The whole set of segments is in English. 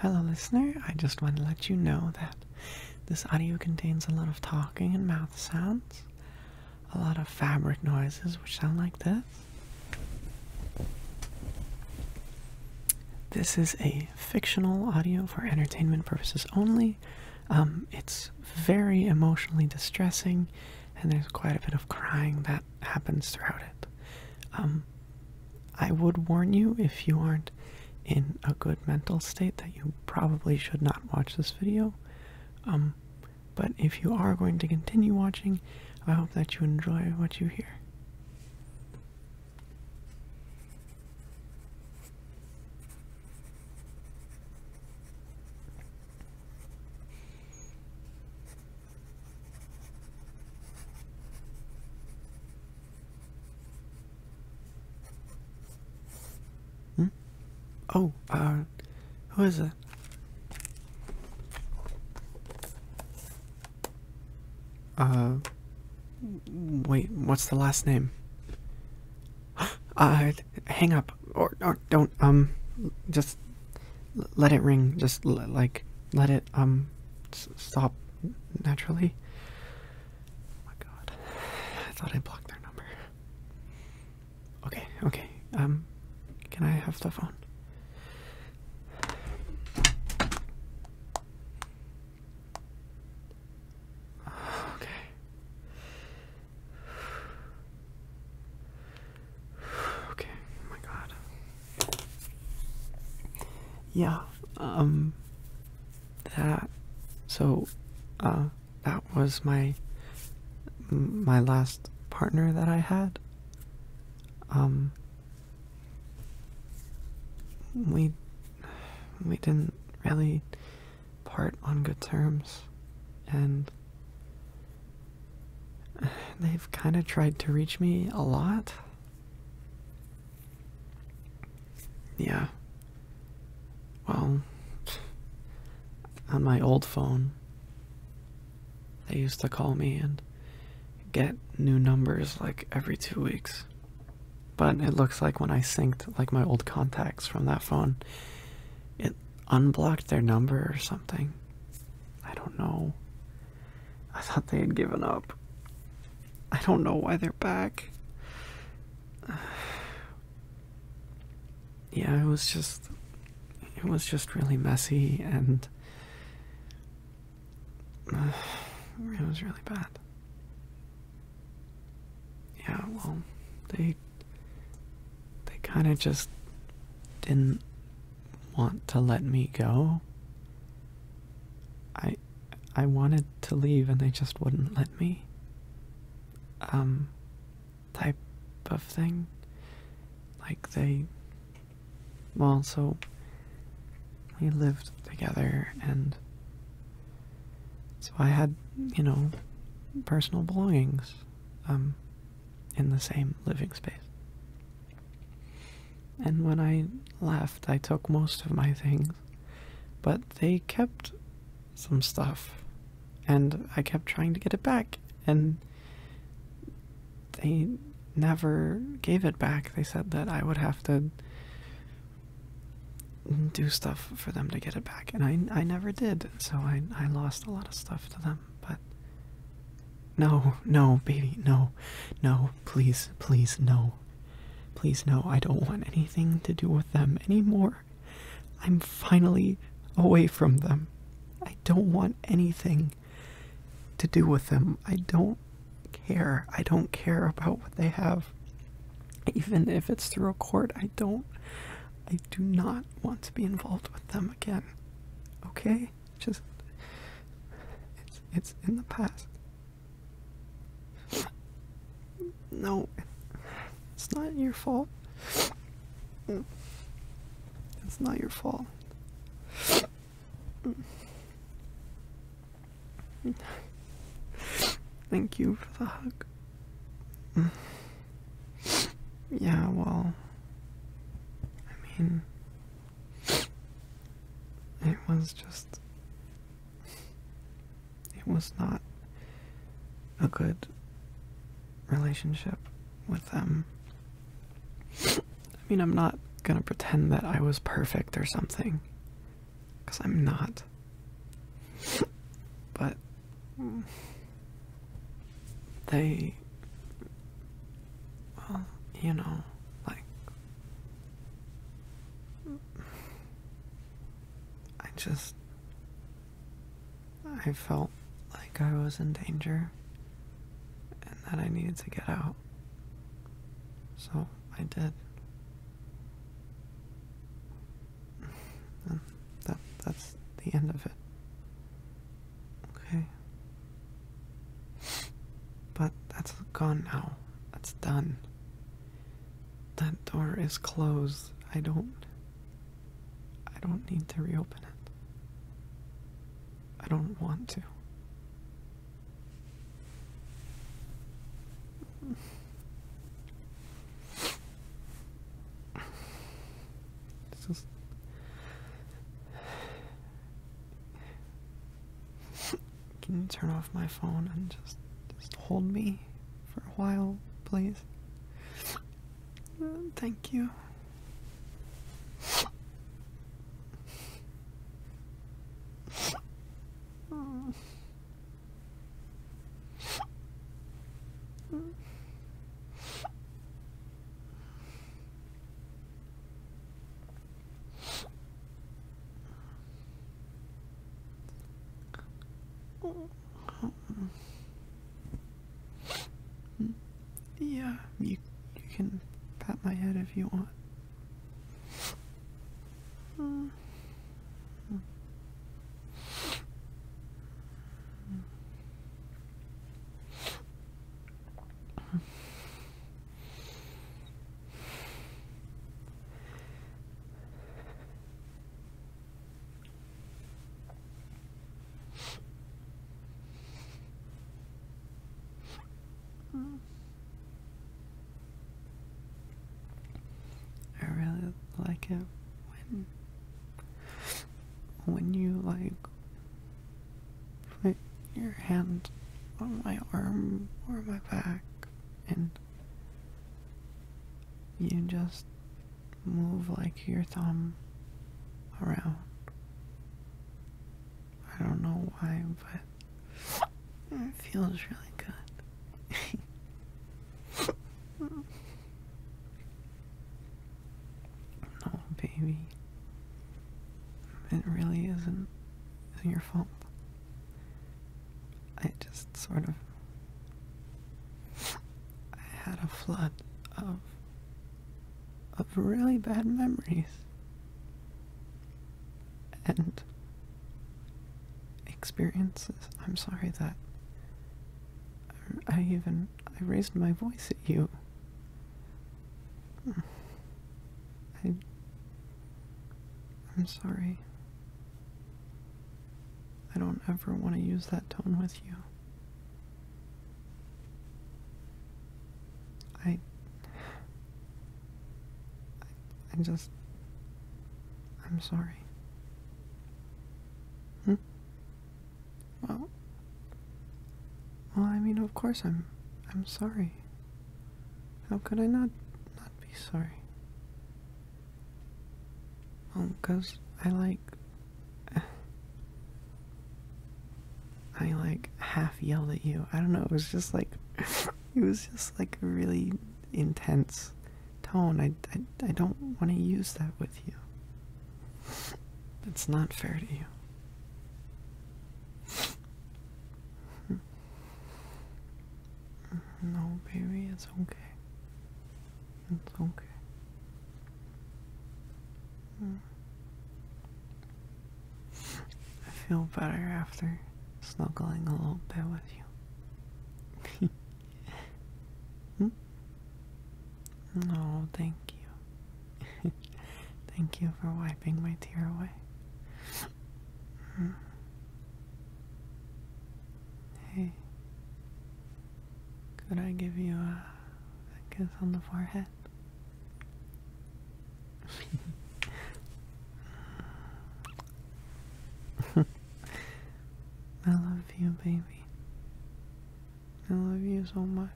Hello, listener. I just want to let you know that this audio contains a lot of talking and mouth sounds, a lot of fabric noises, which sound like this. This is a fictional audio for entertainment purposes only. Um, it's very emotionally distressing, and there's quite a bit of crying that happens throughout it. Um, I would warn you if you aren't in a good mental state that you probably should not watch this video. Um, but if you are going to continue watching, I hope that you enjoy what you hear. Hmm? Oh, uh, who is it? Uh, wait, what's the last name? Uh, hang up, or, or don't, um, just let it ring, just like, let it, um, stop naturally. Oh my god. I thought I blocked their number. Okay, okay. Um can I have the phone? Okay. Okay, oh my god yeah um that so uh that was my my last partner that i had um we we didn't really part on good terms and they've kind of tried to reach me a lot yeah. Well, on my old phone, they used to call me and get new numbers like every two weeks. But it looks like when I synced like my old contacts from that phone, it unblocked their number or something. I don't know. I thought they had given up. I don't know why they're back. Yeah, it was just it was just really messy and it was really bad. Yeah, well, they they kind of just didn't want to let me go. I I wanted to leave and they just wouldn't let me. Um type of thing. Like they well, so we lived together and so I had, you know, personal belongings um in the same living space. And when I left, I took most of my things, but they kept some stuff, and I kept trying to get it back, and they never gave it back. They said that I would have to do stuff for them to get it back, and I, never did, so I lost a lot of stuff to them but no, no, baby, no, no, please, please, no. Please, no, I don't want anything to do with them anymore. I'm finally away from them. I don't want anything to do with them. I don't care. I don't care about what they have. Even if it's through a court, I don't. I do not want to be involved with them again. Okay? Just it's it's in the past. No, it's not your fault. It's not your fault. Thank you for the hug. Yeah, well, I mean, it was just. It was not a good relationship with them. I mean, I'm not gonna pretend that I was perfect or something, because I'm not. But they well, you know, like I just I felt like I was in danger and that I needed to get out. So I did. that that's the end of it. Okay. But that's gone now. That's done. That door is closed. I don't. I don't need to reopen it. I don't want to just. Can you turn off my phone and just just hold me for a while, please? thank you. Yeah, you, you can pat my head if you want. I really like it when when you like Put your hand on my arm or my back and you just move like your thumb around. I don't know why, but it feels really good. No, oh, baby. It really isn't your fault. I just sort of. I had a flood of. of really bad memories. And. experiences. I'm sorry that. I even I raised my voice at you. Hmm. I, I'm sorry. I don't ever want to use that tone with you. I, I, just, I'm sorry. Hmm? Well, well, I mean, of course I'm, I'm sorry. How could I not, not be sorry? Well, cause I like, I like half yelled at you. I don't know. It was just like, it was just like a really intense tone. I, I, I don't want to use that with you. That's not fair to you. No, baby, it's okay. It's okay. I feel better after snuggling a little bit with you. hmm? Oh, thank you. thank you for wiping my tear away. Hmm. hey, could I give you a kiss on the forehead? I love you, baby. I love you so much.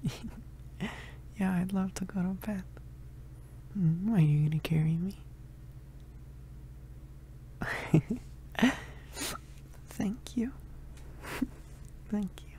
yeah, I'd love to go to bed. Mm-hmm. Are you gonna carry me? Thank you. Thank you.